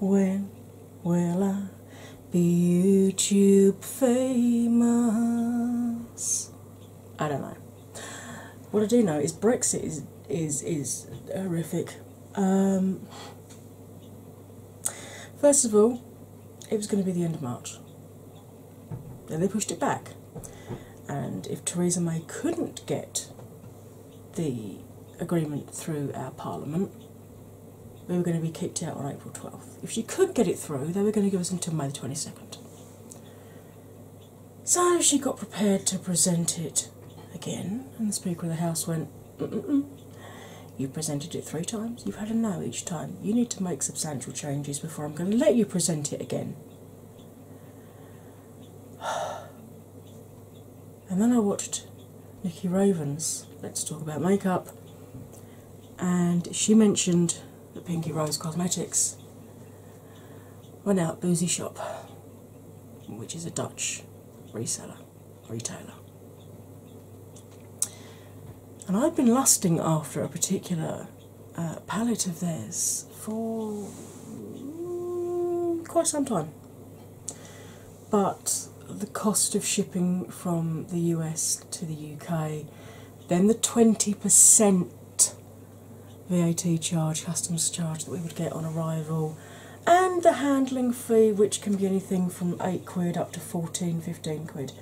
When will I be YouTube famous? I don't know. What I do know is Brexit is is is horrific. Um, first of all, it was going to be the end of March. Then they pushed it back. And if Theresa May couldn't get the agreement through our Parliament, we were going to be kicked out on April 12th. If she could get it through, they were going to give us until May the 22nd. So she got prepared to present it again, and the Speaker of the House went, mm -mm You presented it three times, you've had a no each time. You need to make substantial changes before I'm going to let you present it again. and then I watched Nikki Raven's Let's Talk About Makeup, and she mentioned that Pinky Rose Cosmetics went out Boozy Shop, which is a Dutch reseller, retailer. And I've been lusting after a particular uh, palette of theirs for quite some time but the cost of shipping from the US to the UK, then the 20% VAT charge, customs charge that we would get on arrival, and the handling fee, which can be anything from 8 quid up to 14, 15 quid,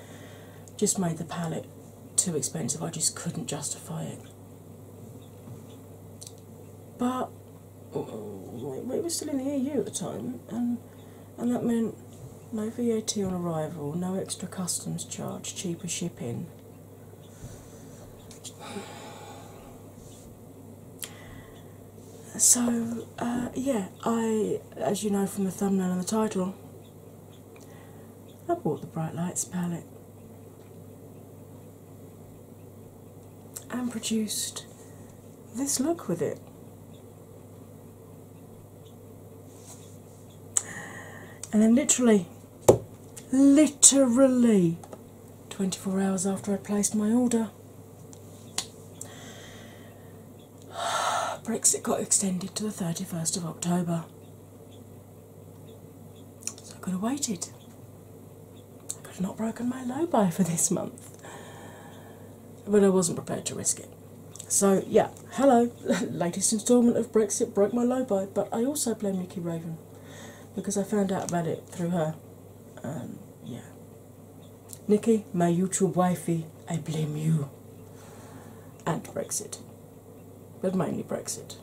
just made the pallet too expensive. I just couldn't justify it. But Oh, we were still in the EU at the time, and and that meant no VAT on arrival, no extra customs charge, cheaper shipping. So uh, yeah, I, as you know from the thumbnail and the title, I bought the bright lights palette and produced this look with it. And then, literally, literally 24 hours after I placed my order, Brexit got extended to the 31st of October. So I could have waited. I could have not broken my low by for this month but I wasn't prepared to risk it. So, yeah, hello, latest instalment of Brexit broke my low by, but I also blame Nikki Raven because I found out about it through her. Um, yeah. Nikki, my YouTube wifey, I blame you. And Brexit. But mainly Brexit.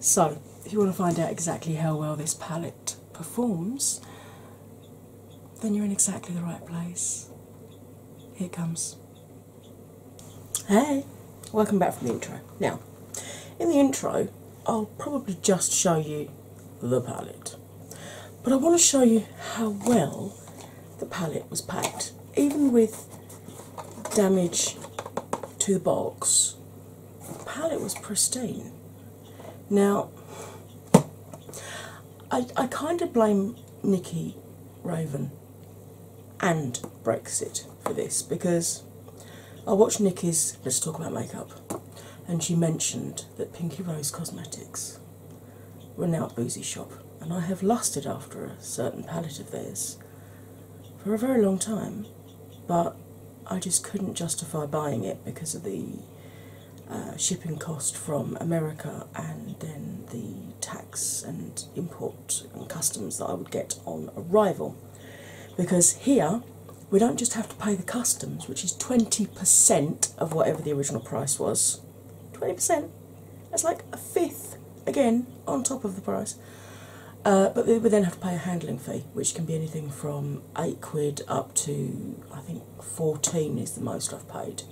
So, if you want to find out exactly how well this palette performs, then you're in exactly the right place. Here it comes. Hey, welcome back from the intro. Now, in the intro, I'll probably just show you the palette, but I want to show you how well the palette was packed, even with damage to the box. The palette was pristine. Now, I, I kind of blame Nikki Raven and Brexit for this because I watched Nikki's Let's Talk About Makeup and she mentioned that Pinky Rose Cosmetics were now at Boozy Shop and I have lusted after a certain palette of theirs for a very long time, but I just couldn't justify buying it because of the uh, shipping cost from America and then the tax and import and customs that I would get on arrival. Because here we don't just have to pay the customs, which is 20% of whatever the original price was. 20%. That's like a fifth, again, on top of the price. Uh, but we then have to pay a handling fee, which can be anything from 8 quid up to, I think, 14 is the most I've paid.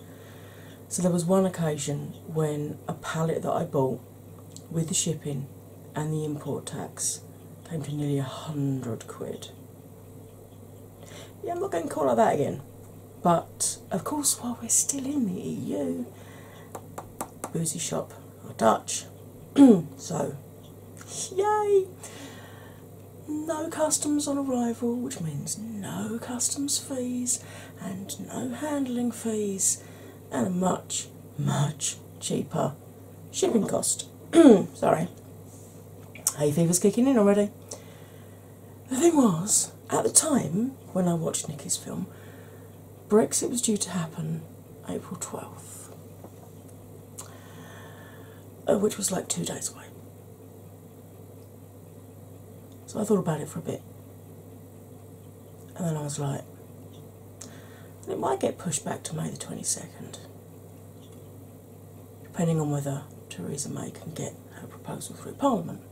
So there was one occasion when a pallet that I bought with the shipping and the import tax came to nearly a hundred quid. Yeah, I'm not going to call it that again. But of course, while we're still in the EU, boozy shop Dutch. so, yay! no customs on arrival, which means no customs fees and no handling fees, and a much, much cheaper shipping cost. Sorry, hay fever's kicking in already. The thing was, at the time when I watched Nikki's film, Brexit was due to happen April 12th. Oh, which was like two days away. So I thought about it for a bit, and then I was like, it might get pushed back to May the 22nd, depending on whether Theresa May can get her proposal through Parliament.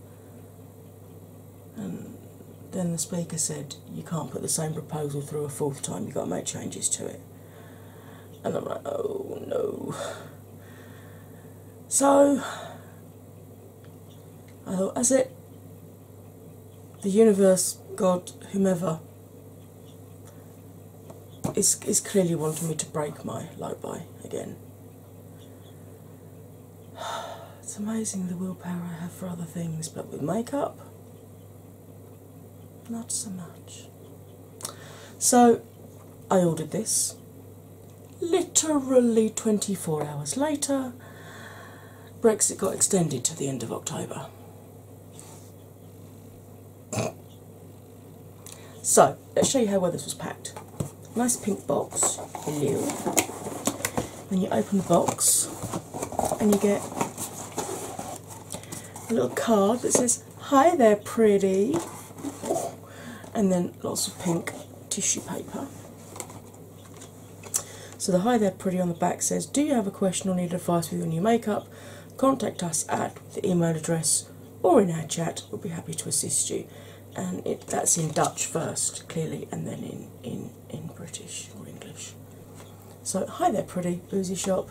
And then the Speaker said, You can't put the same proposal through a fourth time, you've got to make changes to it and I'm like, oh no. So I thought, as it the universe, God, whomever is is clearly wanting me to break my light by again. It's amazing the willpower I have for other things, but with makeup, not so much. So I ordered this literally 24 hours later. Brexit got extended to the end of October. So let's show you how well this was packed. Nice pink box, hello. Then you open the box and you get a little card that says Hi there, pretty. And then lots of pink tissue paper. So the Hi There Pretty on the back says, Do you have a question or need advice with your new makeup? Contact us at the email address or in our chat. We'll be happy to assist you. And that's in Dutch first, clearly, and then in, in, in British or English. So, Hi There Pretty, Boozy Shop.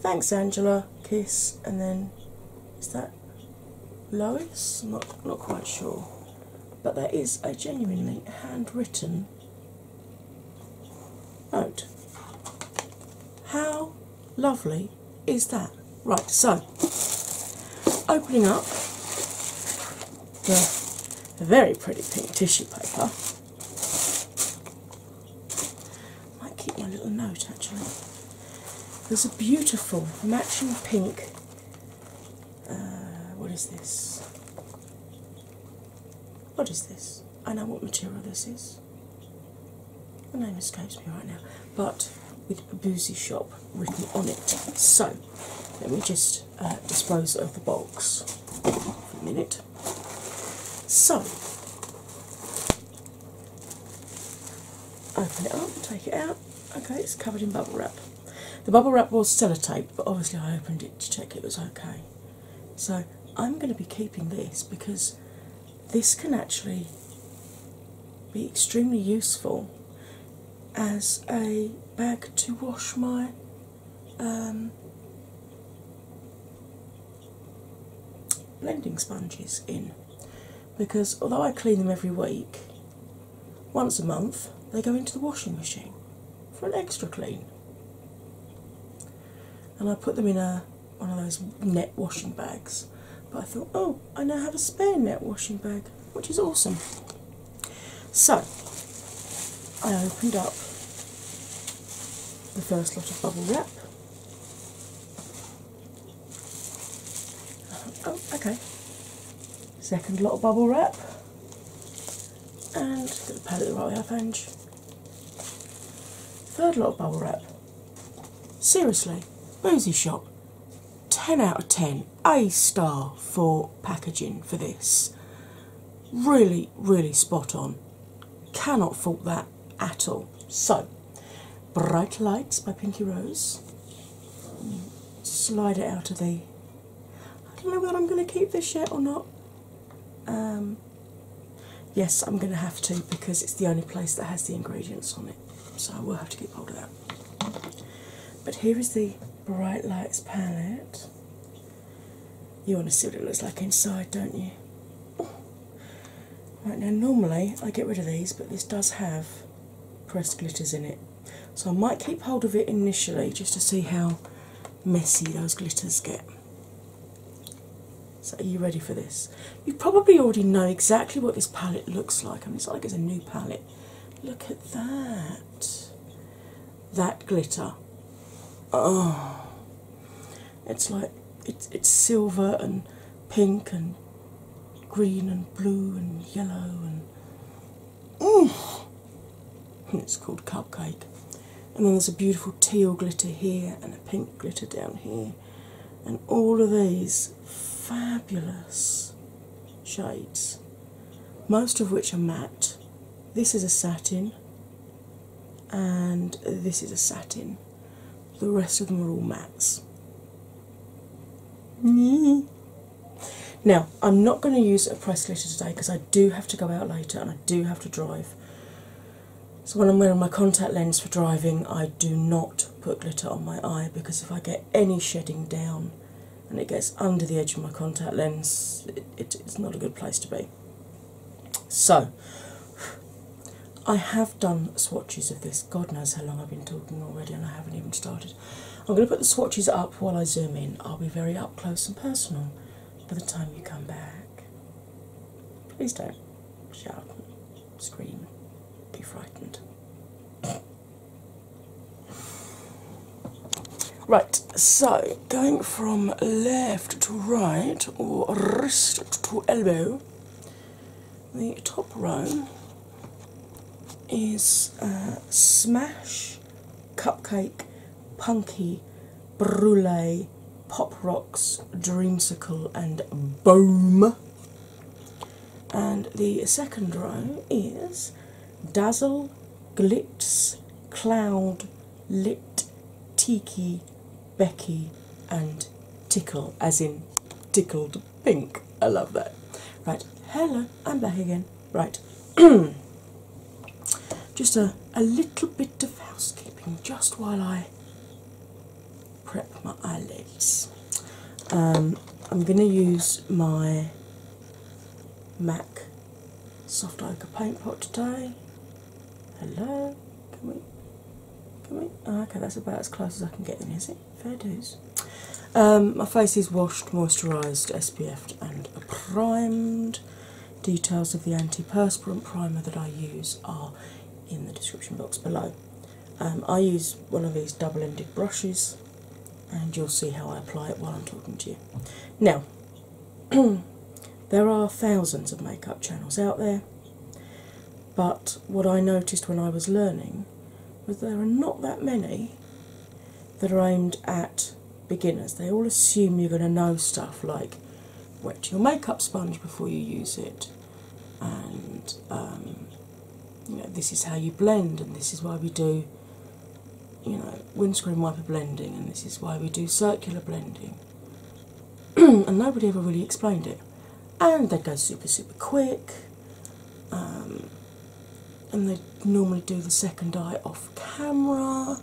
Thanks, Angela. Kiss, and then is that Lois? not not quite sure, but that is a genuinely handwritten note. How lovely is that? Right, so opening up the very pretty pink tissue paper. Might keep my little note actually. There's a beautiful matching pink. Uh, what is this? What is this? I know what material this is. The name escapes me right now, but with a boozy shop written on it. So let me just uh, dispose of the box for a minute. So Open it up, take it out. Okay, it's covered in bubble wrap. The bubble wrap was sellotape, but obviously I opened it to check it was okay. So I'm going to be keeping this because this can actually be extremely useful as a bag to wash my um, blending sponges in because although I clean them every week, once a month they go into the washing machine for an extra clean. And I put them in a one of those net washing bags. But I thought, oh, I now have a spare net washing bag, which is awesome. So I opened up the first lot of bubble wrap Oh, okay. Second lot of bubble wrap and get the palette the right half inch. Third lot of bubble wrap. Seriously, Boozy Shop. 10 out of 10, A star for packaging for this. Really, really spot on. Cannot fault that at all. So, Bright Lights by Pinky Rose. Slide it out of the. I don't know whether I'm going to keep this yet or not. Um, yes, I'm going to have to because it's the only place that has the ingredients on it. So I will have to keep hold of that. But here is the Bright Lights palette. You want to see what it looks like inside, don't you? Right now, normally I get rid of these, but this does have pressed glitters in it, so I might keep hold of it initially just to see how messy those glitters get. So, are you ready for this? You probably already know exactly what this palette looks like. I mean, it's like it's a new palette. Look at that. That glitter. Oh, it's like it's it's silver and pink and green and blue and yellow and mm, it's called cupcake. And then there's a beautiful teal glitter here and a pink glitter down here. And all of these fabulous shades, most of which are matte. This is a satin, and this is a satin. The rest of them are all mattes. Now, I'm not going to use a press glitter today because I do have to go out later and I do have to drive. So, when I'm wearing my contact lens for driving, I do not put glitter on my eye because if I get any shedding down and it gets under the edge of my contact lens, it's not a good place to be. So, I have done swatches of this. God knows how long I've been talking already, and I haven't even started. I'm going to put the swatches up while I zoom in. I'll be very up close and personal by the time you come back. Please don't shout, scream, be frightened. Right, so going from left to right or wrist to elbow, the top row is uh, Smash, Cupcake, Punky, Brulee, Pop Rocks, Dreamsicle, and Boom. And the second row is Dazzle, Glitz, Cloud, Lit, Tiki, Becky and Tickle, as in tickled pink. I love that. Right, hello, I'm back again. Right, just a, a little bit of housekeeping just while I prep my eyelids. Um, I'm going to use my MAC soft ochre paint pot today. Hello, can we? Oh, okay, that's about as close as I can get them, is it? Fair dues. Um, my face is washed, moisturised, SPF'd, and primed. Details of the anti-perspirant primer that I use are in the description box below. Um, I use one of these double ended brushes, and you'll see how I apply it while I'm talking to you. Now, there are thousands of makeup channels out there. But what I noticed when I was learning was there are not that many that are aimed at beginners. They all assume you're going to know stuff like wet your makeup sponge before you use it, and um, this is how you blend, and this is why we do you know windscreen wiper blending, and this is why we do circular blending. and nobody ever really explained it and they go super super quick. Um, and they normally do the second eye off camera,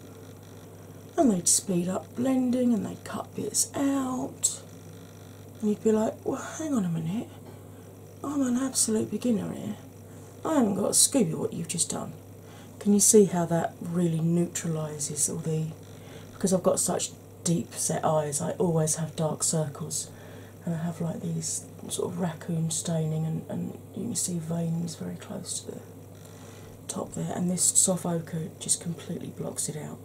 and they'd speed up blending and they'd cut bits out. And you'd be like, well, hang on a minute, I'm an absolute beginner here. I haven't got a scoop of what you've just done. Can you see how that really neutralises all the because I've got such deep set eyes, I always have dark circles, and I have like these sort of raccoon staining, and, and you can see veins very close to the top there. And this soft ochre just completely blocks it out.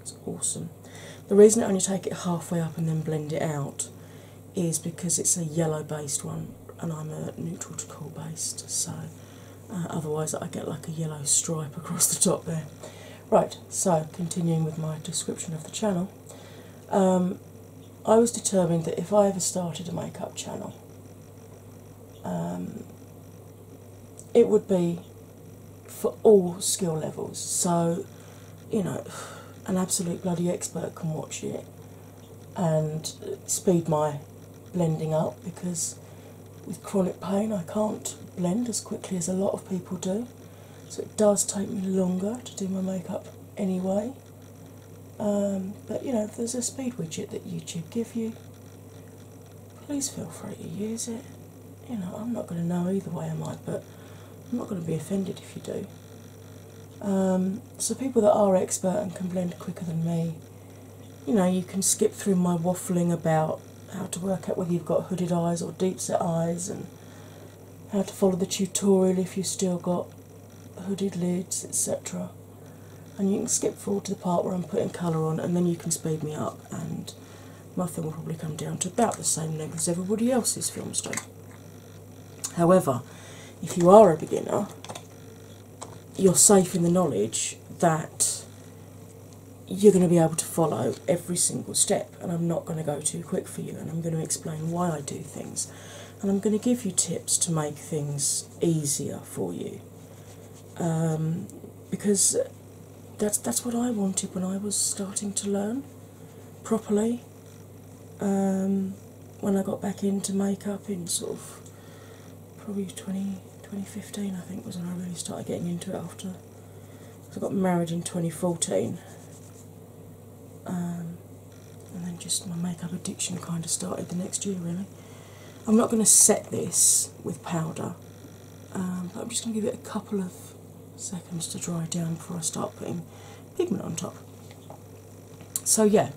It's awesome. The reason I only take it halfway up and then blend it out is because it's a yellow based one and I'm a neutral to cool based, so uh, otherwise I get like a yellow stripe across the top there. Right, so continuing with my description of the channel, um, I was determined that if I ever started a makeup channel, um, it would be for all skill levels. So, you know, an absolute bloody expert can watch it and speed my blending up because with chronic pain I can't blend as quickly as a lot of people do so it does take me longer to do my makeup anyway. Um, but you know, if there's a speed widget that YouTube give you, please feel free to use it. You know, I'm not going to know either way, am I? But I'm not going to be offended if you do. Um, so people that are expert and can blend quicker than me, you know, you can skip through my waffling about how to work out whether you've got hooded eyes or deep set eyes, and how to follow the tutorial if you've still got hooded lids, etc. And you can skip forward to the part where I'm putting colour on, and then you can speed me up, and my film will probably come down to about the same length as everybody else's films do. However, if you are a beginner, you're safe in the knowledge that you're going to be able to follow every single step, and I'm not going to go too quick for you, and I'm going to explain why I do things, and I'm going to give you tips to make things easier for you. Um, because that's that's what I wanted when I was starting to learn properly. Um, when I got back into makeup in sort of probably 20, 2015 I think was when I really started getting into it after I got married in 2014, um, and then just my makeup addiction kind of started the next year. Really, I'm not going to set this with powder, um, I'm just going to give it a couple of seconds to dry down before I start putting pigment on top. So, yeah,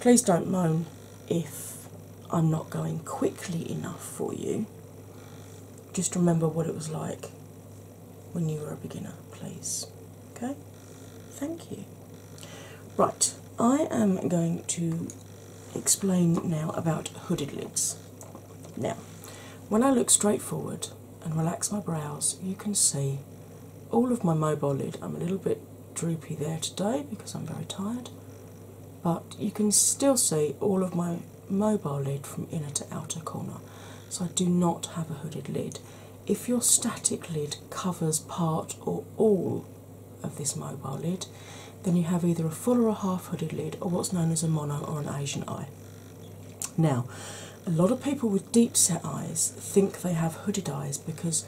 please don't moan if I'm not going quickly enough for you just remember what it was like when you were a beginner, please. Okay? Thank you. Right, I am going to explain now about hooded lids. Now, when I look straight forward and relax my brows, you can see all of my mobile lid. I'm a little bit droopy there today because I'm very tired, but you can still see all of my mobile lid from inner to outer corner. So I do not have a hooded lid. If your static lid covers part or all of this mobile lid, then you have either a full or a half hooded lid or what's known as a mono or an Asian eye. Now, a lot of people with deep set eyes think they have hooded eyes because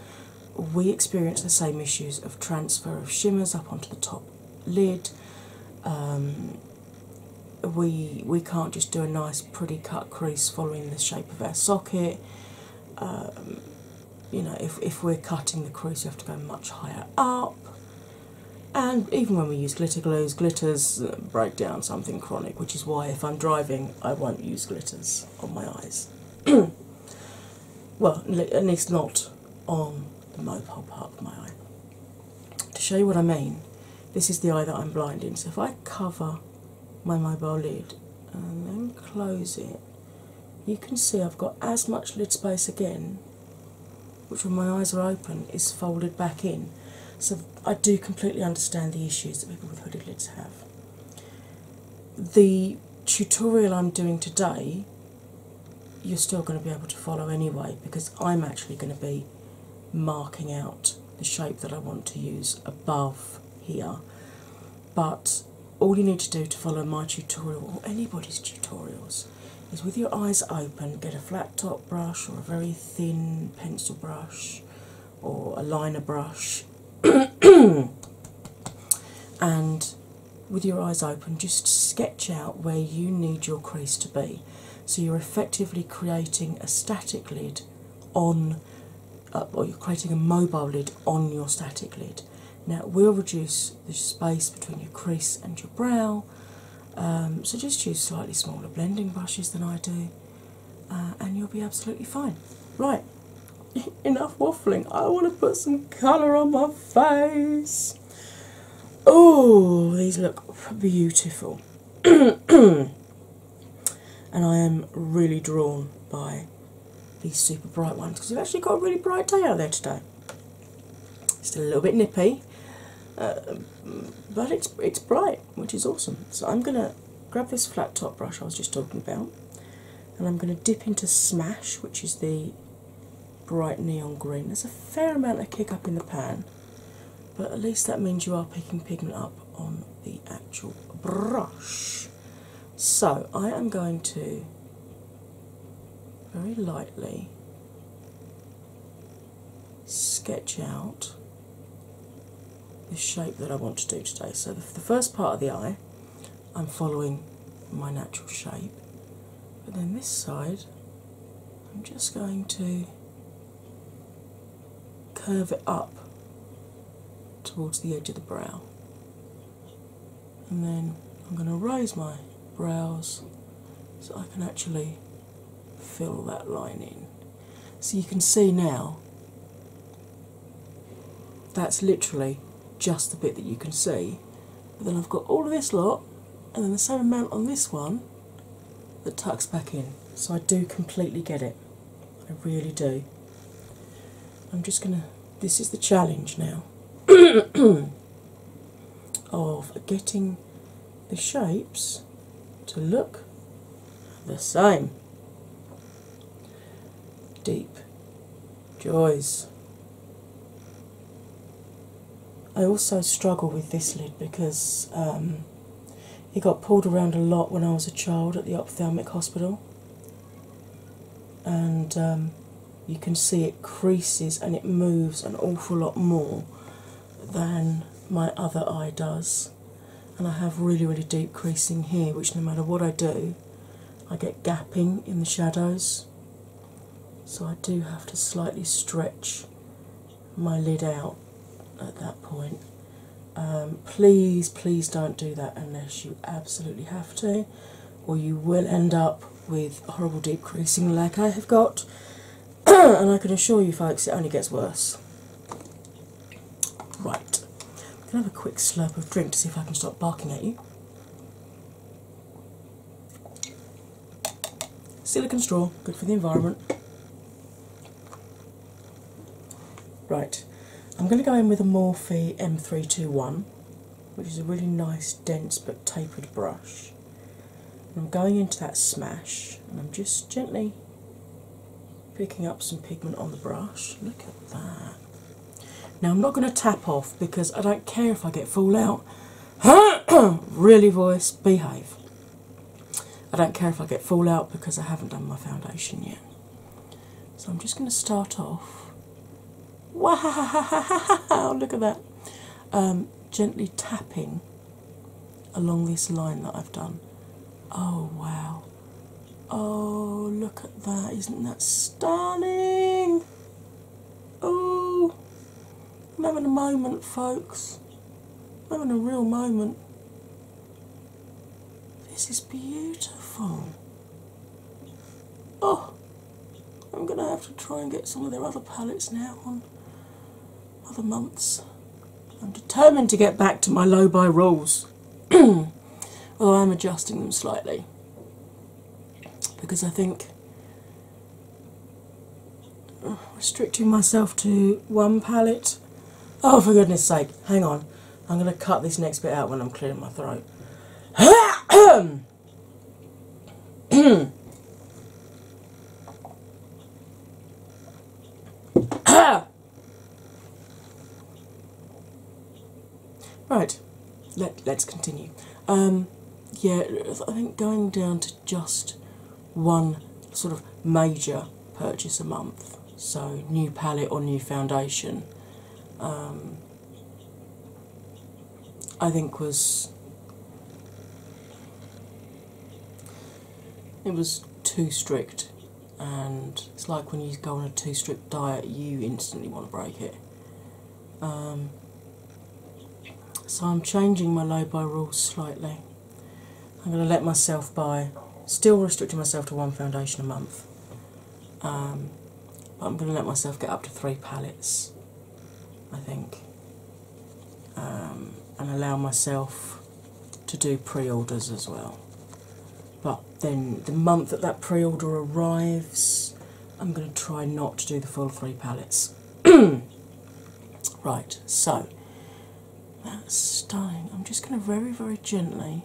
we experience the same issues of transfer of shimmers up onto the top lid. Um, we we can't just do a nice pretty cut crease following the shape of our socket. Um, you know, if if we're cutting the crease, you have to go much higher up. And even when we use glitter glues, glitters uh, break down something chronic, which is why if I'm driving, I won't use glitters on my eyes. well, at least not on the mobile part of my eye. To show you what I mean, this is the eye that I'm blind in. So if I cover my mobile lid and then close it, you can see I've got as much lid space again, which when my eyes are open is folded back in. So I do completely understand the issues that people with hooded lids have. The tutorial I'm doing today, you're still going to be able to follow anyway because I'm actually going to be marking out the shape that I want to use above here. But all you need to do to follow my tutorial or anybody's tutorials is with your eyes open, get a flat top brush or a very thin pencil brush or a liner brush, and with your eyes open, just sketch out where you need your crease to be so you're effectively creating a static lid on uh, or you're creating a mobile lid on your static lid. Now it will reduce the space between your crease and your brow, um, so just use slightly smaller blending brushes than I do, uh, and you'll be absolutely fine. Right, enough waffling. I want to put some colour on my face. Oh, these look beautiful. and I am really drawn by these super bright ones because we've actually got a really bright day out there today. Still a little bit nippy, uh, but it's it's bright, which is awesome. So I'm gonna grab this flat top brush I was just talking about, and I'm gonna dip into Smash, which is the bright neon green. There's a fair amount of kick up in the pan, but at least that means you are picking pigment up on the actual brush. So I am going to very lightly sketch out the shape that I want to do today. So the first part of the eye, I'm following my natural shape, but then this side, I'm just going to curve it up towards the edge of the brow. And then I'm going to raise my brows so I can actually fill that line in. So you can see now that's literally just the bit that you can see. But then I've got all of this lot, and then the same amount on this one, that tucks back in. So I do completely get it. I really do. I'm just going to, this is the challenge now of getting the shapes to look the same. Deep joys. I also struggle with this lid because um, it got pulled around a lot when I was a child at the ophthalmic hospital, and um, you can see it creases and it moves an awful lot more than my other eye does. And I have really, really deep creasing here, which no matter what I do, I get gapping in the shadows. So I do have to slightly stretch my lid out at that point. Um, please, please don't do that unless you absolutely have to, or you will end up with horrible deep creasing like I have got. and I can assure you, folks, it only gets worse. Right, I'm gonna have a quick slurp of drink to see if I can stop barking at you. Silicon straw, good for the environment. Right, I'm going to go in with a Morphe M321, which is a really nice, dense but tapered brush. I'm going into that smash and I'm just gently picking up some pigment on the brush. Look at that. Now I'm not going to tap off because I don't care if I get full out. really voice, behave. I don't care if I get fallout because I haven't done my foundation yet. So I'm just going to start off. Wow! Look at that. Um, gently tapping along this line that I've done. Oh wow! Oh look at that! Isn't that stunning? Oh, I'm having a moment, folks. I'm having a real moment. This is beautiful. Oh, I'm going to have to try and get some of their other palettes now on other months. I'm determined to get back to my low by rules, although I'm adjusting them slightly because I think restricting myself to one palette. Oh, for goodness sake, hang on. I'm going to cut this next bit out when I'm clearing my throat. right, Let, let's continue. Um, yeah, I think going down to just one sort of major purchase a month. So, new palette or new foundation, um, I think was it was too strict, and it's like when you go on a too strict diet, you instantly want to break it. Um, so, I'm changing my low by rules slightly. I'm going to let myself buy, still restricting myself to one foundation a month, um, but I'm going to let myself get up to three palettes, I think, um, and allow myself to do pre orders as well. But then the month that that pre order arrives, I'm going to try not to do the full three palettes. right, so that's stunning. I'm just going to very, very gently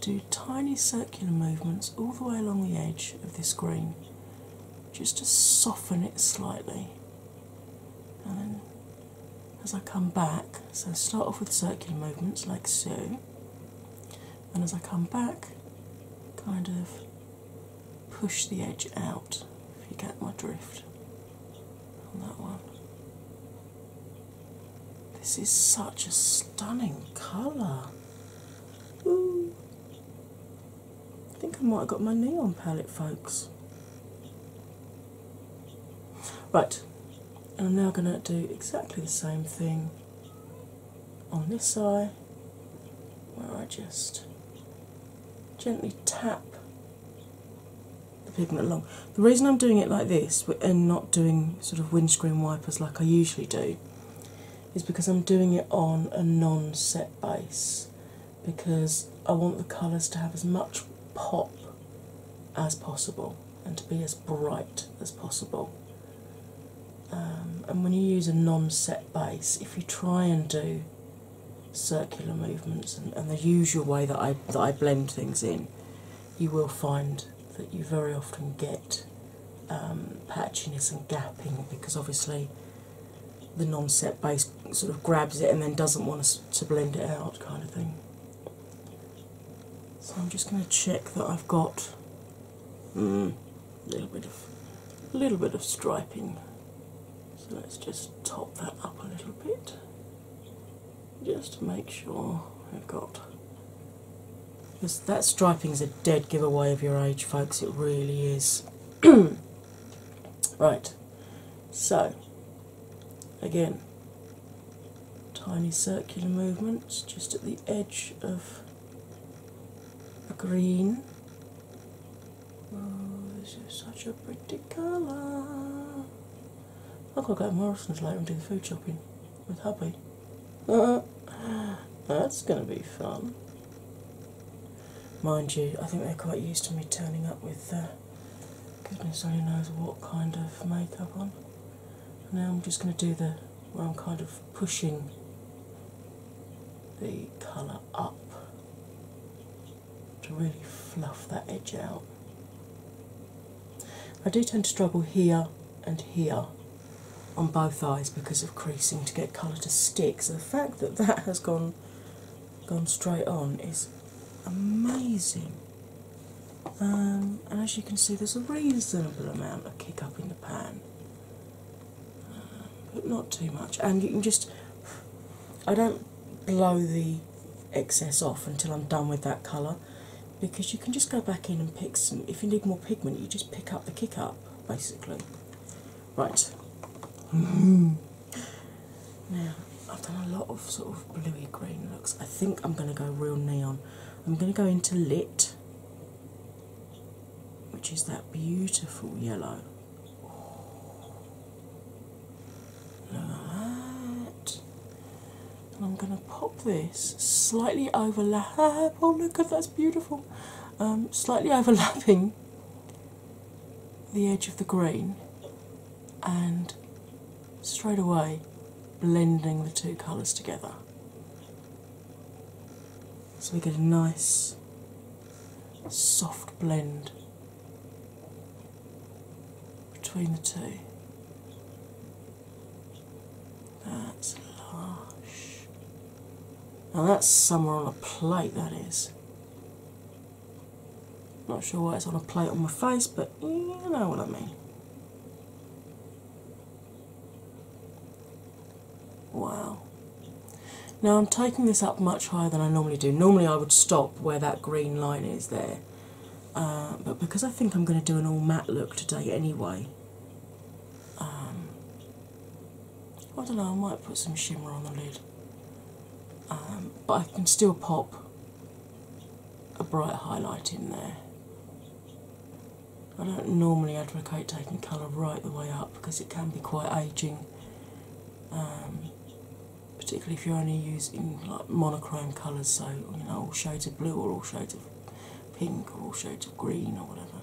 do tiny circular movements all the way along the edge of this green just to soften it slightly. And then as I come back, so start off with circular movements like so, and as I come back, kind of push the edge out, if you get my drift on that one. This is such a stunning colour. Ooh. I think I might have got my neon palette, folks. Right, I'm now going to do exactly the same thing on this eye where I just gently tap the pigment along. The reason I'm doing it like this and not doing sort of windscreen wipers like I usually do is because I'm doing it on a non set base because I want the colours to have as much pop as possible and to be as bright as possible. Um, and when you use a non set base, if you try and do circular movements and, the usual way that I that I blend things in, you will find that you very often get um, patchiness and gapping because obviously the non-set base sort of grabs it and then doesn't want us to blend it out, kind of thing. So I'm just going to check that I've got a mm, little bit of a little bit of striping so let's just top that up a little bit just to make sure we've got That striping is a dead giveaway of your age, folks, it really is. right, so again, tiny circular movements just at the edge of a green Oh, this is such a pretty colour. I've got to go to Morrison's later and do the food shopping with hubby. That's going to be fun. Mind you, I think they're quite used to me turning up with uh, goodness only knows what kind of makeup on. Now I'm just going to do the where I'm kind of pushing the colour up to really fluff that edge out. I do tend to struggle here and here on both eyes because of creasing to get colour to stick. So the fact that that has gone gone straight on is amazing. Um, and as you can see, there's a reasonable amount of kick up in the pan but not too much. And you can just, I don't blow the excess off until I'm done with that colour because you can just go back in and pick some. If you need more pigment, you just pick up the kick up basically. Right. Mm-hmm. now, I've done a lot of sort of bluey green looks. I think I'm going to go real neon. I'm going to go into lit, which is that beautiful yellow. That. And I'm going to pop this slightly overlap. Oh, look at that's beautiful. Um, slightly overlapping the edge of the grain, and straight away blending the two colours together. So we get a nice soft blend between the two. That's lush. Now that's somewhere on a plate, that is. Not sure why it's on a plate on my face, but you know what I mean. Wow. Now I'm taking this up much higher than I normally do. Normally I would stop where that green line is there, uh, but because I think I'm going to do an all matte look today anyway, um, I don't know, I might put some shimmer on the lid. Um, but I can still pop a bright highlight in there. I don't normally advocate taking colour right the way up because it can be quite aging um, particularly if you're only using like monochrome colours, so you know all shades of blue or all shades of pink or all shades of green or whatever.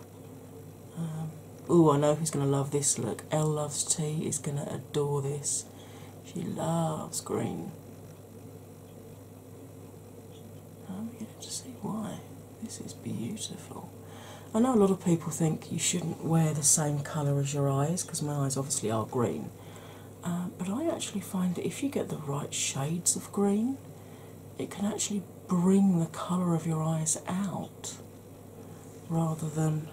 Um, oh, I know who's going to love this look. Elle loves tea is going to adore this. She loves green. I'm beginning to see why. This is beautiful. I know a lot of people think you shouldn't wear the same colour as your eyes because my eyes obviously are green, uh, but I actually find that if you get the right shades of green, it can actually bring the colour of your eyes out rather than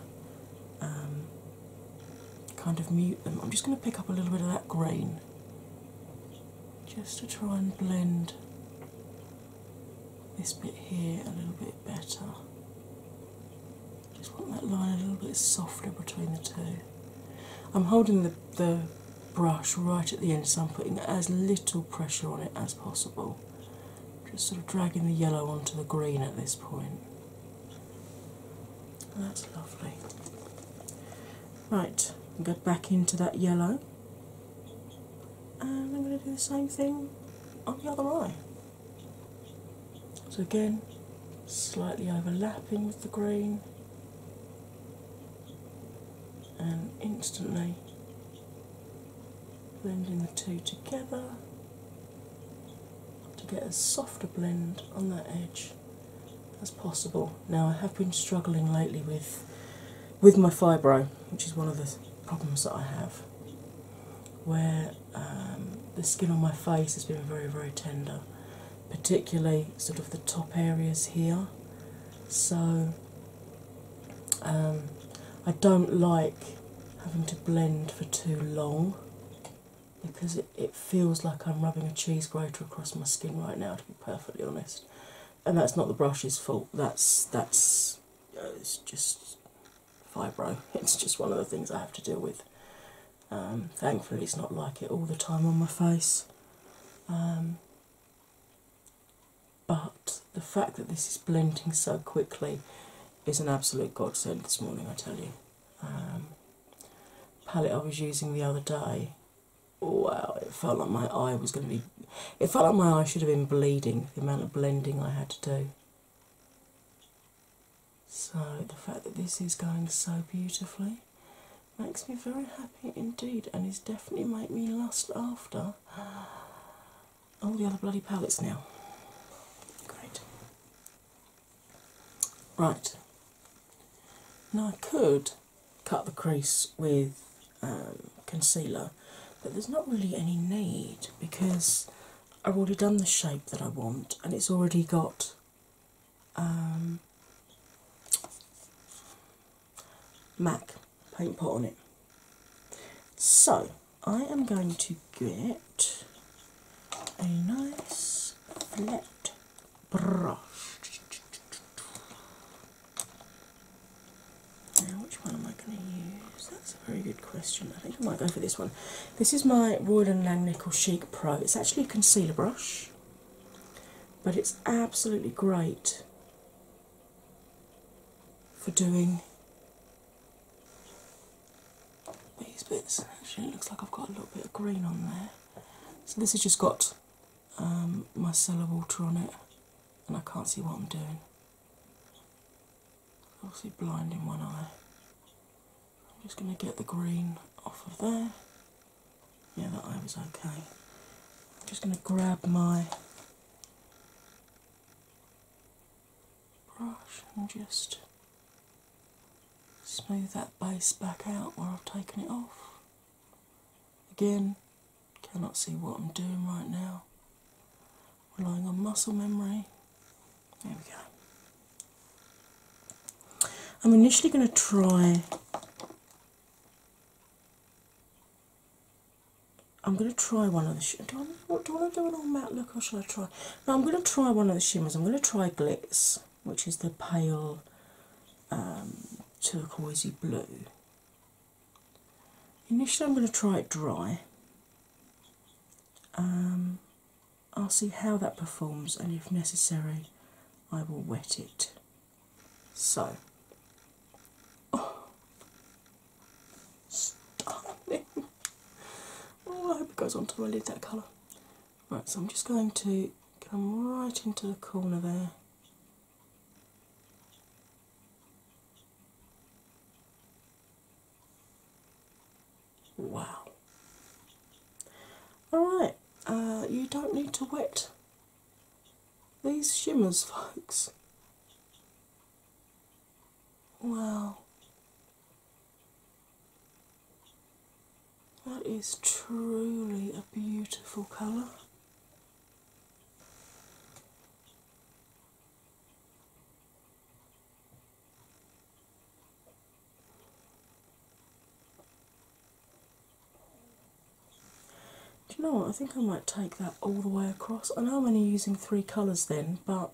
um, kind of mute them. I'm just going to pick up a little bit of that green just to try and blend this bit here a little bit better. Just want that line a little bit softer between the two. I'm holding the, the brush right at the end, so I'm putting as little pressure on it as possible. Just sort of dragging the yellow onto the green at this point. That's lovely. Right, go back into that yellow, and I'm going to do the same thing on the other eye. So, again, slightly overlapping with the green, and instantly blending the two together to get a softer blend on that edge as possible. Now, I have been struggling lately with. With my fibro, which is one of the problems that I have, where um, the skin on my face has been very, very tender, particularly sort of the top areas here. So um, I don't like having to blend for too long because it, feels like I'm rubbing a cheese grater across my skin right now, to be perfectly honest. And that's not the brush's fault. That's that's it's just fibro. It's just one of the things I have to deal with. Um, thankfully, it's not like it all the time on my face. Um, but the fact that this is blending so quickly is an absolute godsend this morning, I tell you. Um, palette I was using the other day, wow, it felt like my eye was going to be. It felt like my eye should have been bleeding, the amount of blending I had to do. So, the fact that this is going so beautifully makes me very happy indeed, and is definitely made me lust after all the other bloody palettes now. Great. Right. Now, I could cut the crease with um, concealer, but there's not really any need because I've already done the shape that I want, and it's already got um, MAC paint put on it. So I am going to get a nice flat brush. Now, which one am I going to use? very good question. I think I might go for this one. This is my Royal and Langnickel Nickel Chic Pro. It's actually a concealer brush, but it's absolutely great for doing these bits. Actually, it looks like I've got a little bit of green on there. So this has just got um, my micellar water on it, and I can't see what I'm doing obviously blind in one eye. I'm just going to get the green off of there. Yeah, that eye was okay. I'm just going to grab my brush and just smooth that base back out where I've taken it off. Again, cannot see what I'm doing right now relying on muscle memory. There we go. I'm initially going to try. I'm going to try one of the shimmers. Do, I want to do an all matte look or shall I try? No, I'm going to try one of the shimmers. I'm going to try Glitz, which is the pale um, turquoisey blue. Initially, I'm going to try it dry. Um, I'll see how that performs, and if necessary, I will wet it. So, oh. stunning! Oh, I hope it goes onto my lid that colour. Right, so I'm just going to come right into the corner there. Wow. Alright, uh, you don't need to wet these shimmers, folks. Wow. That is truly a beautiful colour. Do you know what? I think I might take that all the way across. I know I'm only using three colours then, but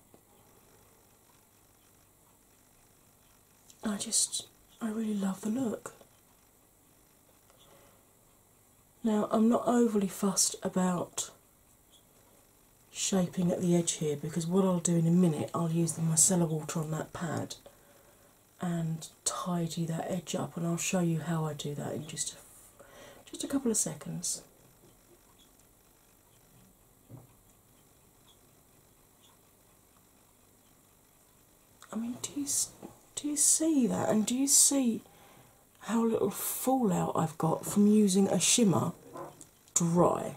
I just, I really love the look. Now, I'm not overly fussed about shaping at the edge here because what I'll do in a minute, I'll use the micellar water on that pad and tidy that edge up, and I'll show you how I do that in just a, just a couple of seconds. I mean, do you do you see that, and do you see how little fallout I've got from using a shimmer dry.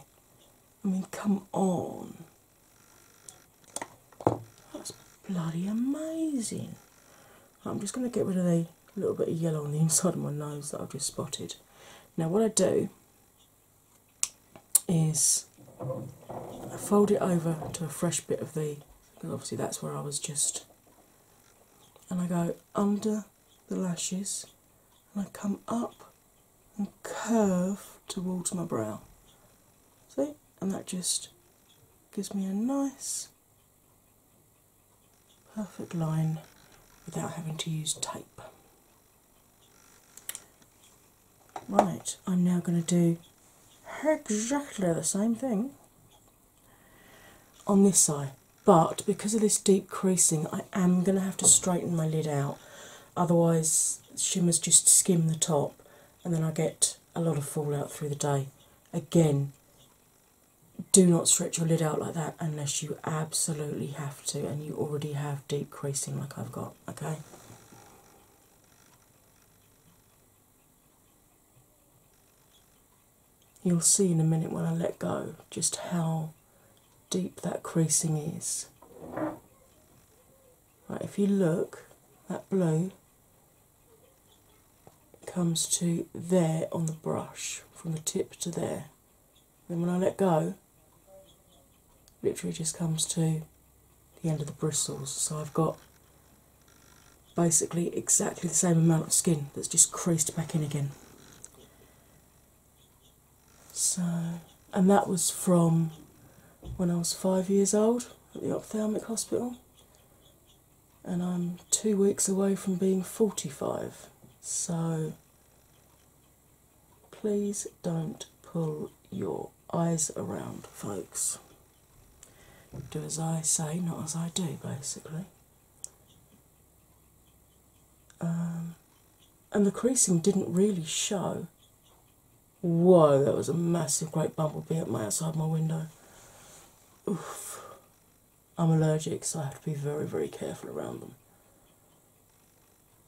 I mean, come on. That's bloody amazing. I'm just going to get rid of the little bit of yellow on the inside of my nose that I've just spotted. Now, what I do is I fold it over to a fresh bit of the, obviously that's where I was just, and I go under the lashes and I come up and curve towards my brow. See? And that just gives me a nice perfect line without having to use tape. Right, I'm now going to do exactly the same thing on this side. but because of this deep creasing, I am going to have to straighten my lid out otherwise, shimmers just skim the top, and then I get a lot of fallout through the day. Again, do not stretch your lid out like that unless you absolutely have to and you already have deep creasing like I've got, okay? You'll see in a minute when I let go just how deep that creasing is. Right, if you look, that blue comes to there on the brush, from the tip to there. Then when I let go, literally just comes to the end of the bristles. So I've got basically exactly the same amount of skin that's just creased back in again. So, and that was from when I was five years old at the ophthalmic hospital, and I'm two weeks away from being 45. So, please don't pull your eyes around, folks. Do as I say, not as I do, basically. Um, and the creasing didn't really show. Whoa, that was a massive great bumblebee outside my window. Oof. I'm allergic, so I have to be very, very careful around them.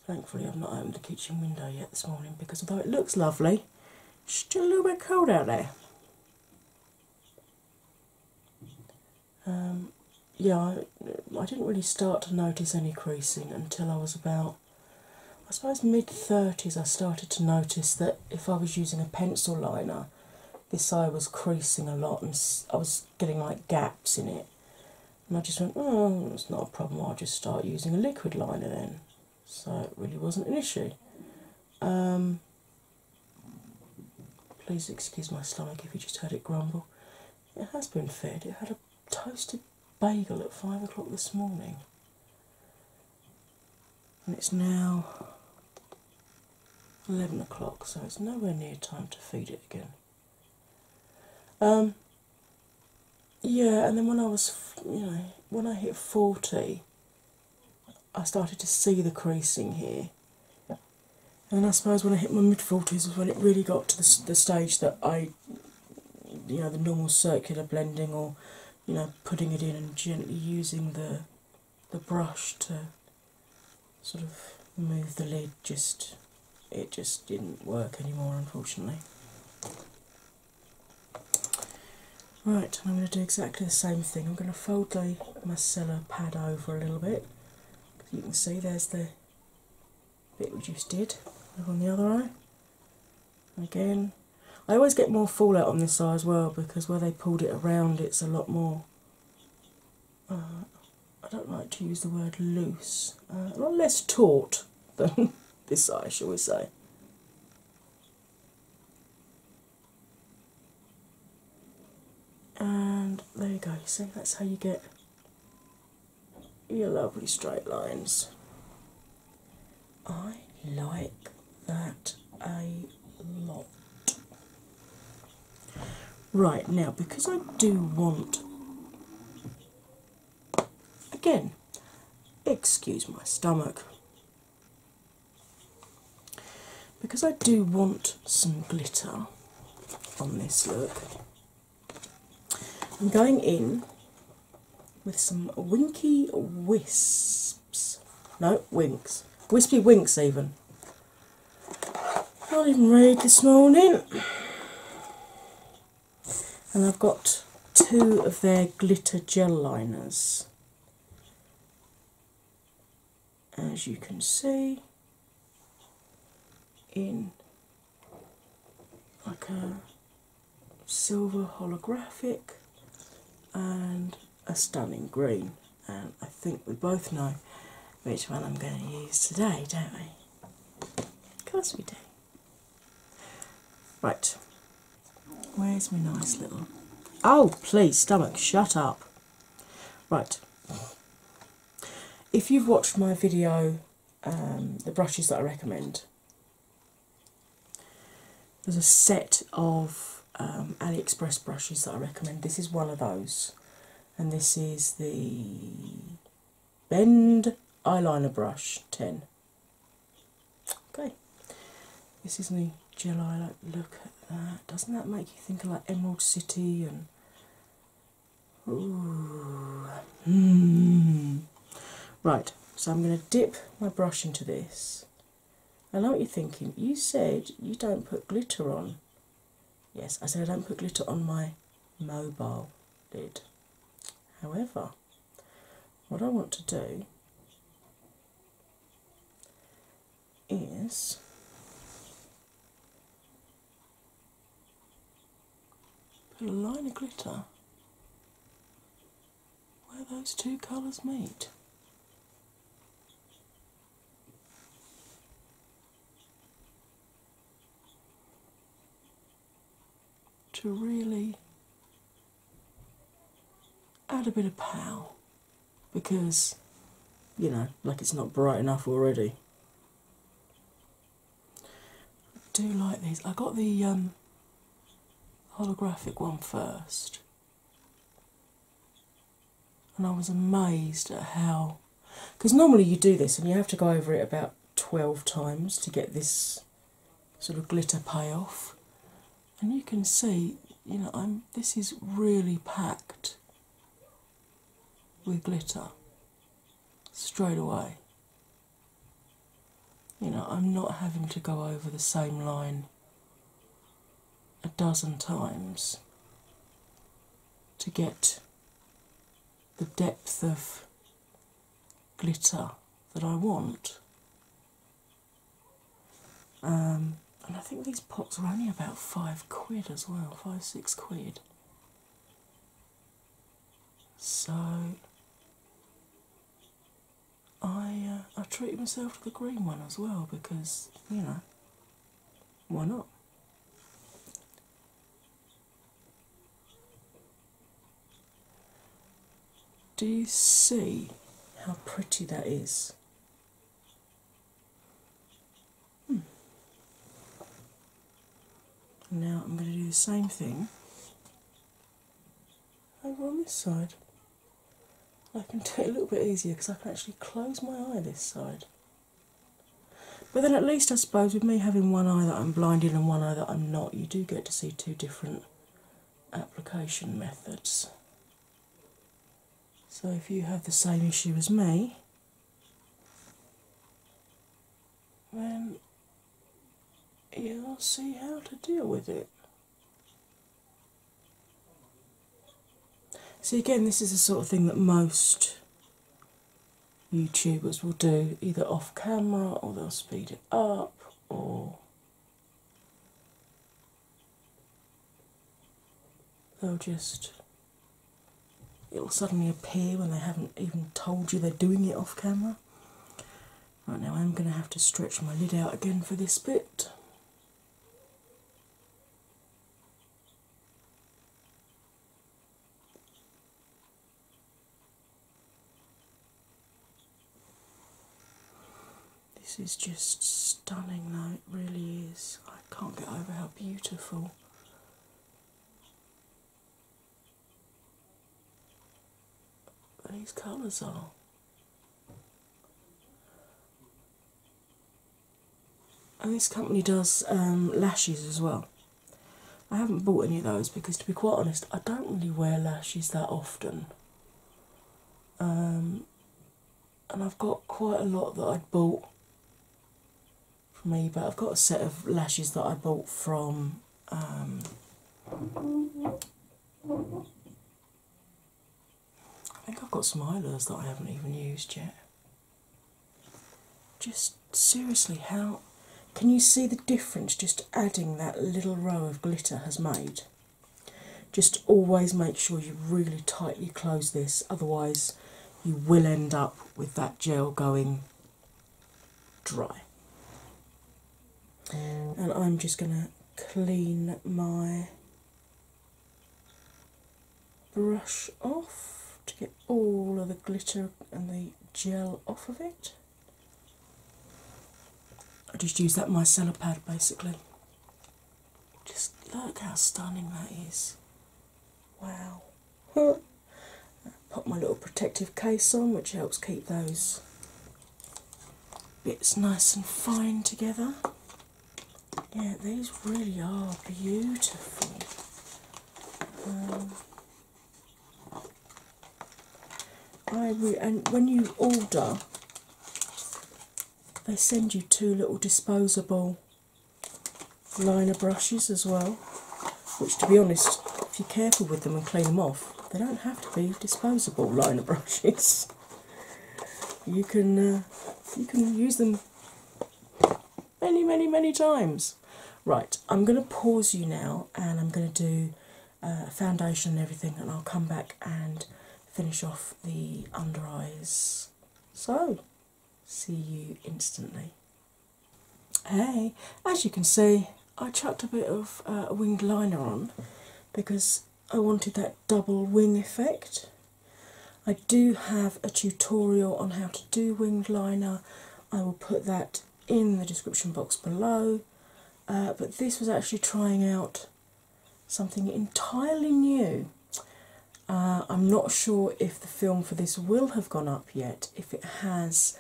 Thankfully, I've not opened the kitchen window yet this morning because although it looks lovely, it's still a little bit cold out there. Um, yeah, I, didn't really start to notice any creasing until I was about, I suppose, mid 30s. I started to notice that if I was using a pencil liner, this eye was creasing a lot and I was getting like gaps in it. And I just went, oh, it's not a problem, I'll just start using a liquid liner then. So it really wasn't an issue. Um, please excuse my stomach if you just heard it grumble. It has been fed. It had a toasted bagel at five o'clock this morning, and it's now 11 o'clock, so it's nowhere near time to feed it again. Um, yeah, and then when I was, you know, when I hit 40, I started to see the creasing here. And I suppose when I hit my mid 40s was when it really got to the, the stage that I you know the normal circular blending or you know putting it in and gently using the the brush to sort of move the lid just it just didn't work anymore unfortunately. Right, I'm going to do exactly the same thing. I'm going to fold the micellar pad over a little bit. You can see there's the bit reduced did on the other eye. Again, I always get more fallout on this eye as well because where they pulled it around, it's a lot more. Uh, I don't like to use the word loose, uh, a lot less taut than this eye, shall we say. And there you go, you see, that's how you get your lovely straight lines. I like that a lot. Right now, because I do want, again, excuse my stomach, because I do want some glitter on this look, I'm going in with some winky wisps. No, winks. Wispy winks, even. Not even read this morning. And I've got two of their glitter gel liners. As you can see, in like a silver holographic and a stunning green. And I think we both know which one I'm going to use today, don't we? Of course we do. Right, where's my nice little. Oh, please, stomach, shut up. Right, if you've watched my video um, the brushes that I recommend. There's a set of um, AliExpress brushes that I recommend. This is one of those, and this is the Bend Eyeliner Brush 10. Okay, this is the gel eye. Look at that! Doesn't that make you think of like Emerald City and Hmm. Right, so I'm going to dip my brush into this. I know what you're thinking. You said you don't put glitter on. Yes, I said I don't put glitter on my mobile lid. However, what I want to do is Put a line of glitter where those two colours meet. To really add a bit of pow because you know, like it's not bright enough already. I do like these. I got the um, holographic one first, and I was amazed at how. Because normally you do this and you have to go over it about 12 times to get this sort of glitter payoff. And you can see, you know, I'm this is really packed with glitter straight away. You know, I'm not having to go over the same line a dozen times to get the depth of glitter that I want. Um, and I think these pots are only about five quid as well, five, six quid. So I uh, I treated myself to the green one as well because you know why not? Do you see how pretty that is? Hmm. Now I'm going to do the same thing over on this side. I can do it a little bit easier because I can actually close my eye this side. But then, at least, I suppose, with me having one eye that I'm blinded and one eye that I'm not, you do get to see two different application methods. So, if you have the same issue as me, then you'll see how to deal with it. See, again, this is the sort of thing that most YouTubers will do either off camera or they'll speed it up or they'll just. It'll suddenly appear when they haven't even told you they're doing it off camera. Right now, I'm going to have to stretch my lid out again for this bit. This is just stunning, though, it really is. I can't get over how beautiful these colours are. And this company does um, lashes as well. I haven't bought any of those because, to be quite honest, I don't really wear lashes that often. Um, and I've got quite a lot that I'd bought for me, but I've got a set of lashes that I bought from um, I think I've got some eyelures that I haven't even used yet. Just seriously, how can you see the difference just adding that little row of glitter has made? Just always make sure you really tightly close this, otherwise, you will end up with that gel going dry. And I'm just going to clean my brush off to get all of the glitter and the gel off of it. I just use that micellar pad basically. Just look how stunning that is. Wow. Put my little protective case on, which helps keep those bits nice and fine together. Yeah, these really are beautiful. Um, I and when you order, they send you two little disposable liner brushes as well which to be honest, if you're careful with them and clean them off, they don't have to be disposable liner brushes. you can uh, you can use them many, many, many times. Right, I'm going to pause you now, and I'm going to do uh, foundation and everything, and I'll come back and finish off the under eyes. So, see you instantly. Hey, as you can see, I chucked a bit of uh, winged liner on because I wanted that double wing effect. I do have a tutorial on how to do winged liner. I will put that in the description box below. Uh, but this was actually trying out something entirely new. Uh, I'm not sure if the film for this will have gone up yet. If it has,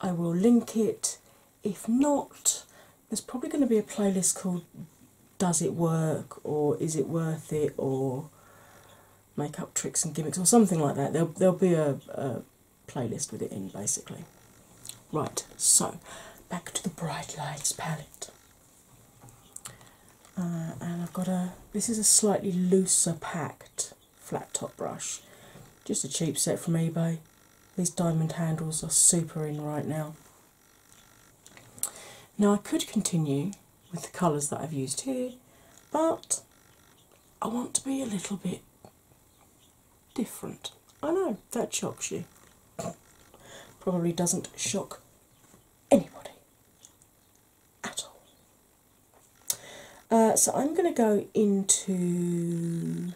I will link it. If not, there's probably going to be a playlist called Does It Work or Is It Worth It or Makeup Tricks and Gimmicks or something like that. There'll, there'll be a, playlist with it in basically. Right, so back to the Bright Lights palette. Uh, and I've got a, this is a slightly looser packed flat top brush. Just a cheap set from eBay. These diamond handles are super in right now. Now I could continue with the colours that I've used here, but I want to be a little bit different. I know, that shocks you. Probably doesn't shock anybody at all. Uh, so I'm going to go into.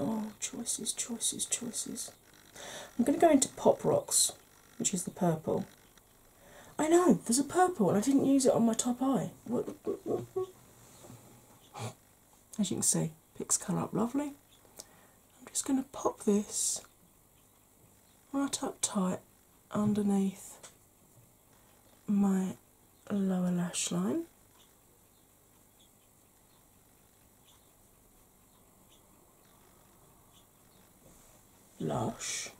Oh, choices, choices, choices. I'm going to go into Pop Rocks, which is the purple. I know, there's a purple, and I didn't use it on my top eye. As you can see, picks colour up lovely. I'm just going to pop this right up tight underneath my lower lash line. Lash.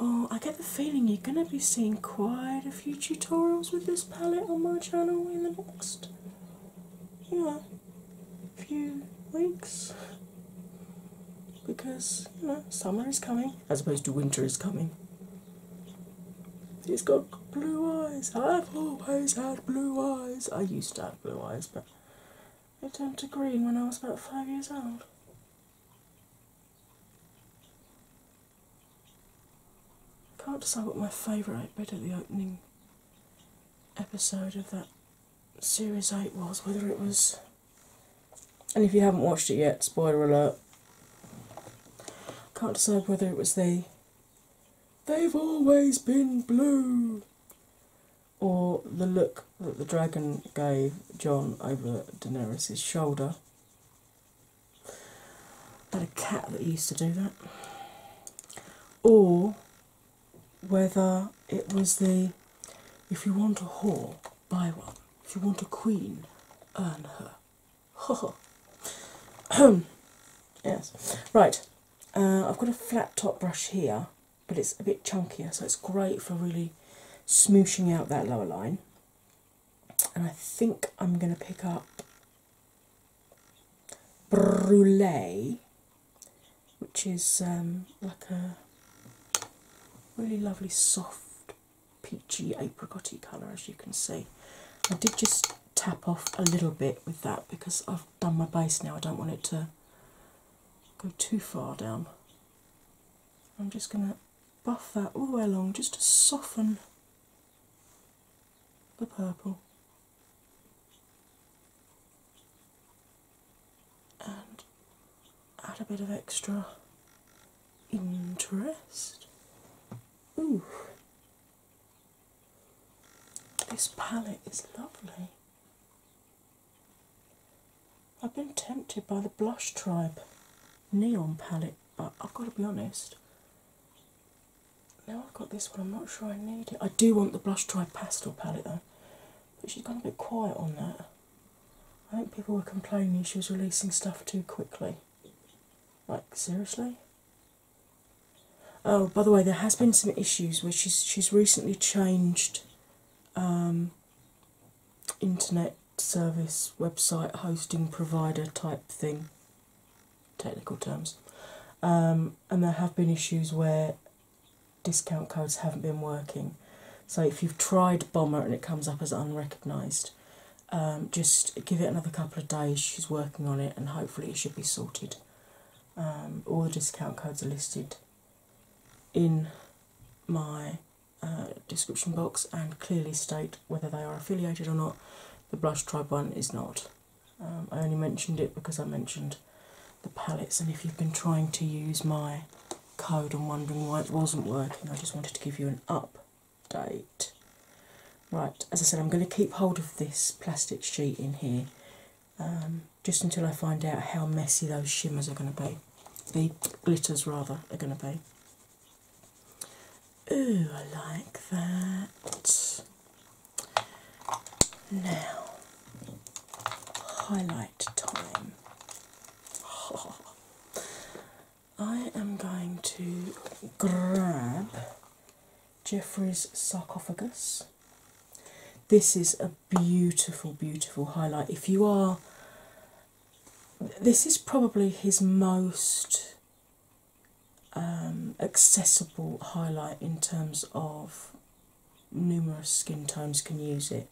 Oh, I get the feeling you're going to be seeing quite a few tutorials with this palette on my channel in the next, you know, few weeks because you know summer is coming as opposed to winter is coming. He's got blue eyes. I've always had blue eyes. I used to have blue eyes, but they turned to green when I was about five years old. I can't decide what my favourite bit of the opening episode of that series 8 was, whether it was and if you haven't watched it yet, spoiler alert. Can't decide whether it was the They've always been blue or the look that the dragon gave John over Daenerys' shoulder. I had a cat that used to do that. Or whether it was the if you want a whore, buy one. If you want a queen, earn her. Ha ha. yes. Right. Uh, I've got a flat top brush here, but it's a bit chunkier, so it's great for really smooshing out that lower line. And I think I'm going to pick up brule, which is um, like a really lovely soft peachy apricotty colour as you can see. I did just tap off a little bit with that because I've done my base now. I don't want it to go too far down. I'm just going to buff that all the way along just to soften the purple. And add a bit of extra interest. Ooh, this palette is lovely. I've been tempted by the Blush Tribe neon palette, but I've got to be honest. Now I've got this one, I'm not sure I need it. I do want the Blush Tribe pastel palette though, but she's gone a bit quiet on that. I think people were complaining she was releasing stuff too quickly. Like seriously? Oh, by the way, there has been some issues where she's she's recently changed um, internet service website hosting provider type thing. Technical terms, um, and there have been issues where discount codes haven't been working. So if you've tried Bomber and it comes up as unrecognised, um, just give it another couple of days. She's working on it, and hopefully, it should be sorted. Um, all the discount codes are listed in my uh, description box and clearly state whether they are affiliated or not. The Blush Tribe one is not. Um, I only mentioned it because I mentioned the palettes, and if you've been trying to use my code and wondering why it wasn't working, I just wanted to give you an up date. Right, as I said, I'm going to keep hold of this plastic sheet in here um, just until I find out how messy those shimmers are going to be, the glitters rather, are going to be. Ooh, I like that. Now, highlight time. I am going to grab Jeffrey's sarcophagus. This is a beautiful, beautiful highlight. If you are, this is probably his most um, accessible highlight in terms of numerous skin tones can use it.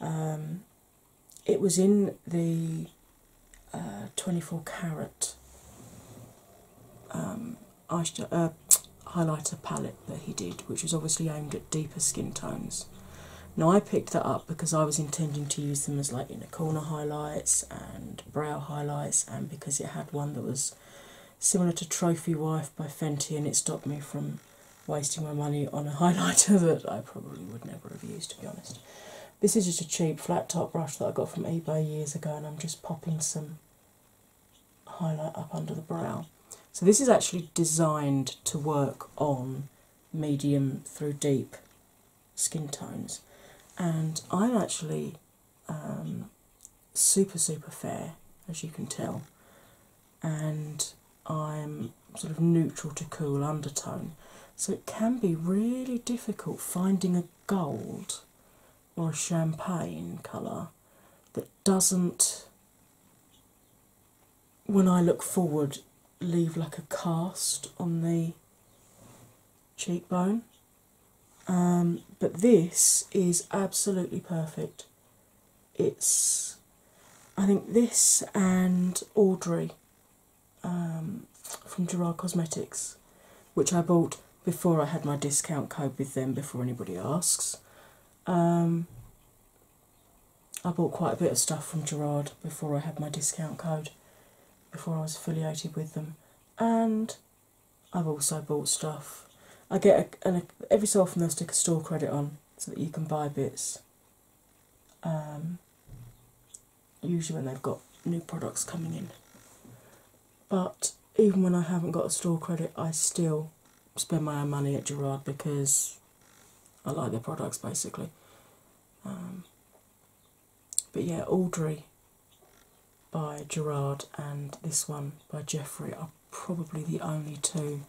Um, it was in the uh, 24 carat um, uh, highlighter palette that he did, which was obviously aimed at deeper skin tones. Now I picked that up because I was intending to use them as like you corner highlights and brow highlights, and because it had one that was similar to Trophy Wife by Fenty, and it stopped me from wasting my money on a highlighter that I probably would never have used to be honest. This is just a cheap flat top brush that I got from eBay years ago, and I'm just popping some highlight up under the brow. So, this is actually designed to work on medium through deep skin tones, and I'm actually um, super, super fair, as you can tell, and I'm sort of neutral to cool undertone. So it can be really difficult finding a gold or a champagne colour that doesn't, when I look forward, leave like a cast on the cheekbone. Um, but this is absolutely perfect. It's, I think, this and Audrey um, from Gerard Cosmetics, which I bought before I had my discount code with them, before anybody asks. Um, I bought quite a bit of stuff from Gerard before I had my discount code, before I was affiliated with them, and I've also bought stuff. I get a, every so often they'll stick a store credit on so that you can buy bits. Um, usually when they've got new products coming in. But even when I haven't got a store credit, I still spend my own money at Gerard because I like their products basically. Um, but yeah, Audrey by Gerard and this one by Jeffrey are probably the only two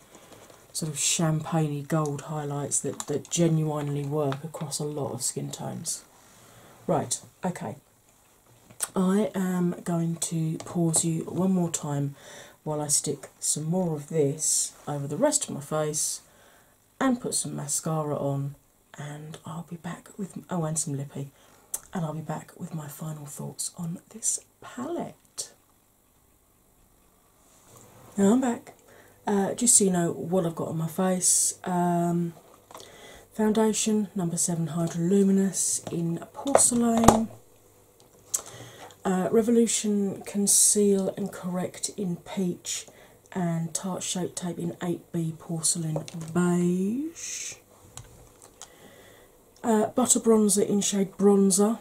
sort of champagney gold highlights that genuinely work across a lot of skin tones. Right, okay. I am going to pause you one more time while I stick some more of this over the rest of my face and put some mascara on, and I'll be back with oh, and some lippy, and I'll be back with my final thoughts on this palette. Now I'm back. Uh, just so you know what I've got on my face. Um, foundation number seven Hydroluminous in porcelain. Uh, revolution Conceal and Correct in Peach and Tarte Shape Tape in 8B Porcelain Beige. Uh, butter Bronzer in shade Bronzer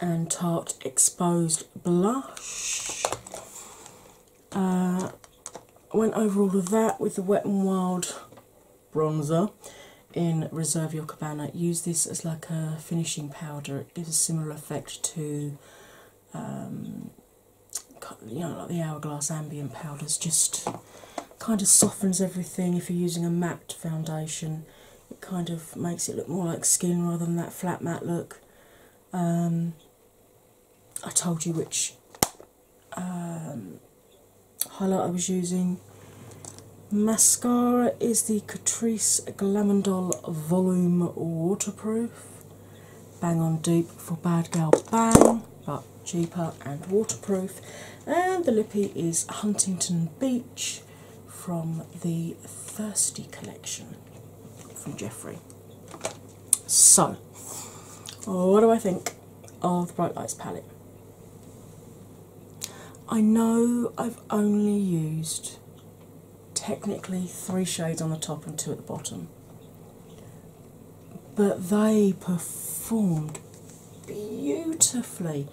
and Tarte Exposed Blush. Uh, went over all of that with the Wet n Wild bronzer in Reserve Your Cabana. Use this as like a finishing powder. It gives a similar effect to um, you know like the Hourglass ambient powders. Just kind of softens everything. If you're using a matte foundation, it kind of makes it look more like skin rather than that flat matte look. Um, I told you which um, highlight I was using. Mascara is the Catrice Glamondol Volume Waterproof. Bang on deep for Bad Girl Bang, but cheaper and waterproof. And the lippy is Huntington Beach from the Thirsty Collection from Jeffrey. So, oh, what do I think of the Bright Lights palette? I know I've only used technically three shades on the top and two at the bottom, but they performed beautifully.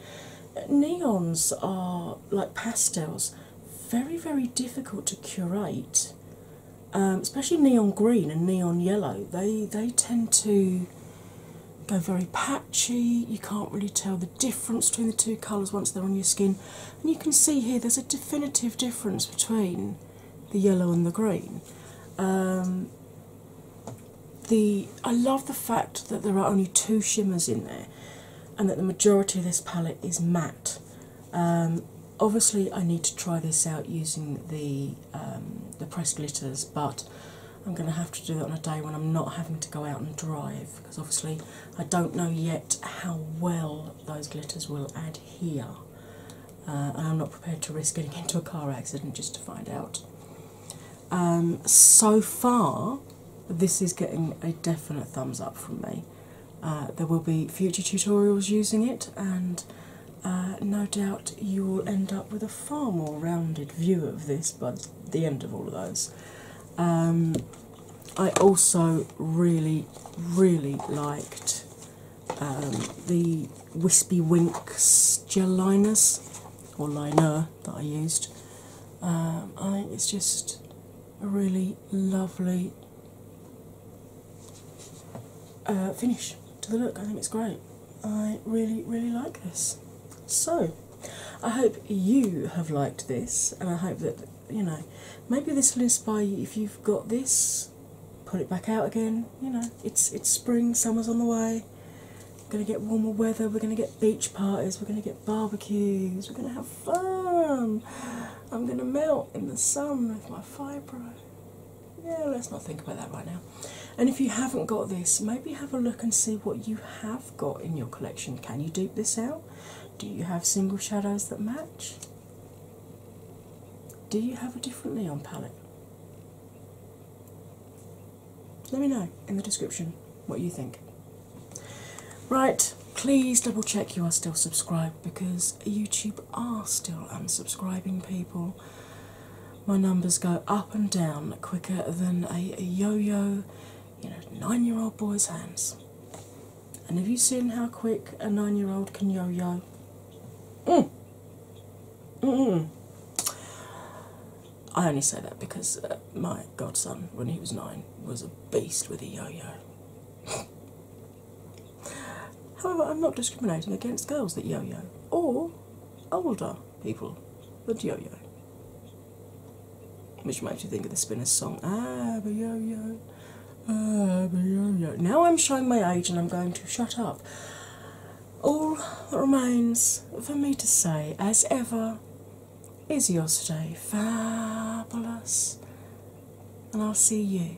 Neons are like pastels, very, very difficult to curate, um, especially neon green and neon yellow. They they tend to go very patchy. You can't really tell the difference between the two colours once they're on your skin, and you can see here there's a definitive difference between the yellow and the green. Um, the I love the fact that there are only two shimmers in there and that the majority of this palette is matte um, obviously, I need to try this out using the um, the press glitters, but I'm going to have to do it on a day when I'm not having to go out and drive because obviously I don't know yet how well those glitters will adhere, uh, and I'm not prepared to risk getting into a car accident just to find out. Um, so far, this is getting a definite thumbs up from me. Uh, there will be future tutorials using it, and uh, no doubt you will end up with a far more rounded view of this by the end of all of those. Um, I also really, really liked um, the Wispy Winks gel liners or liner that I used. Um, I think it's just a really lovely uh, finish to the look. I think it's great. I really, really like this. So, I hope you have liked this, and I hope that you know maybe this will inspire you. If you've got this, put it back out again. You know, it's it's spring, summer's on the way. We're gonna get warmer weather. We're gonna get beach parties. We're gonna get barbecues. We're gonna have fun. I'm going to melt in the sun with my fibro. Yeah, let's not think about that right now. And if you haven't got this, maybe have a look and see what you have got in your collection. Can you dupe this out? Do you have single shadows that match? Do you have a different neon palette? Let me know in the description what you think. Right, please double check you are still subscribed because YouTube are still unsubscribing people. My numbers go up and down quicker than a, yo yo, you know, nine year old boy's hands. And have you seen how quick a nine year old can yo yo? Mm. Mm, I only say that because uh, my godson, when he was nine, was a beast with a yo yo. However, I'm not discriminating against girls that yo yo or older people that yo yo. Which makes you think of the Spinners song, Ah, but yo yo, ah, but yo yo. Now I'm showing my age and I'm going to shut up. All that remains for me to say, as ever, is yesterday fabulous. And I'll see you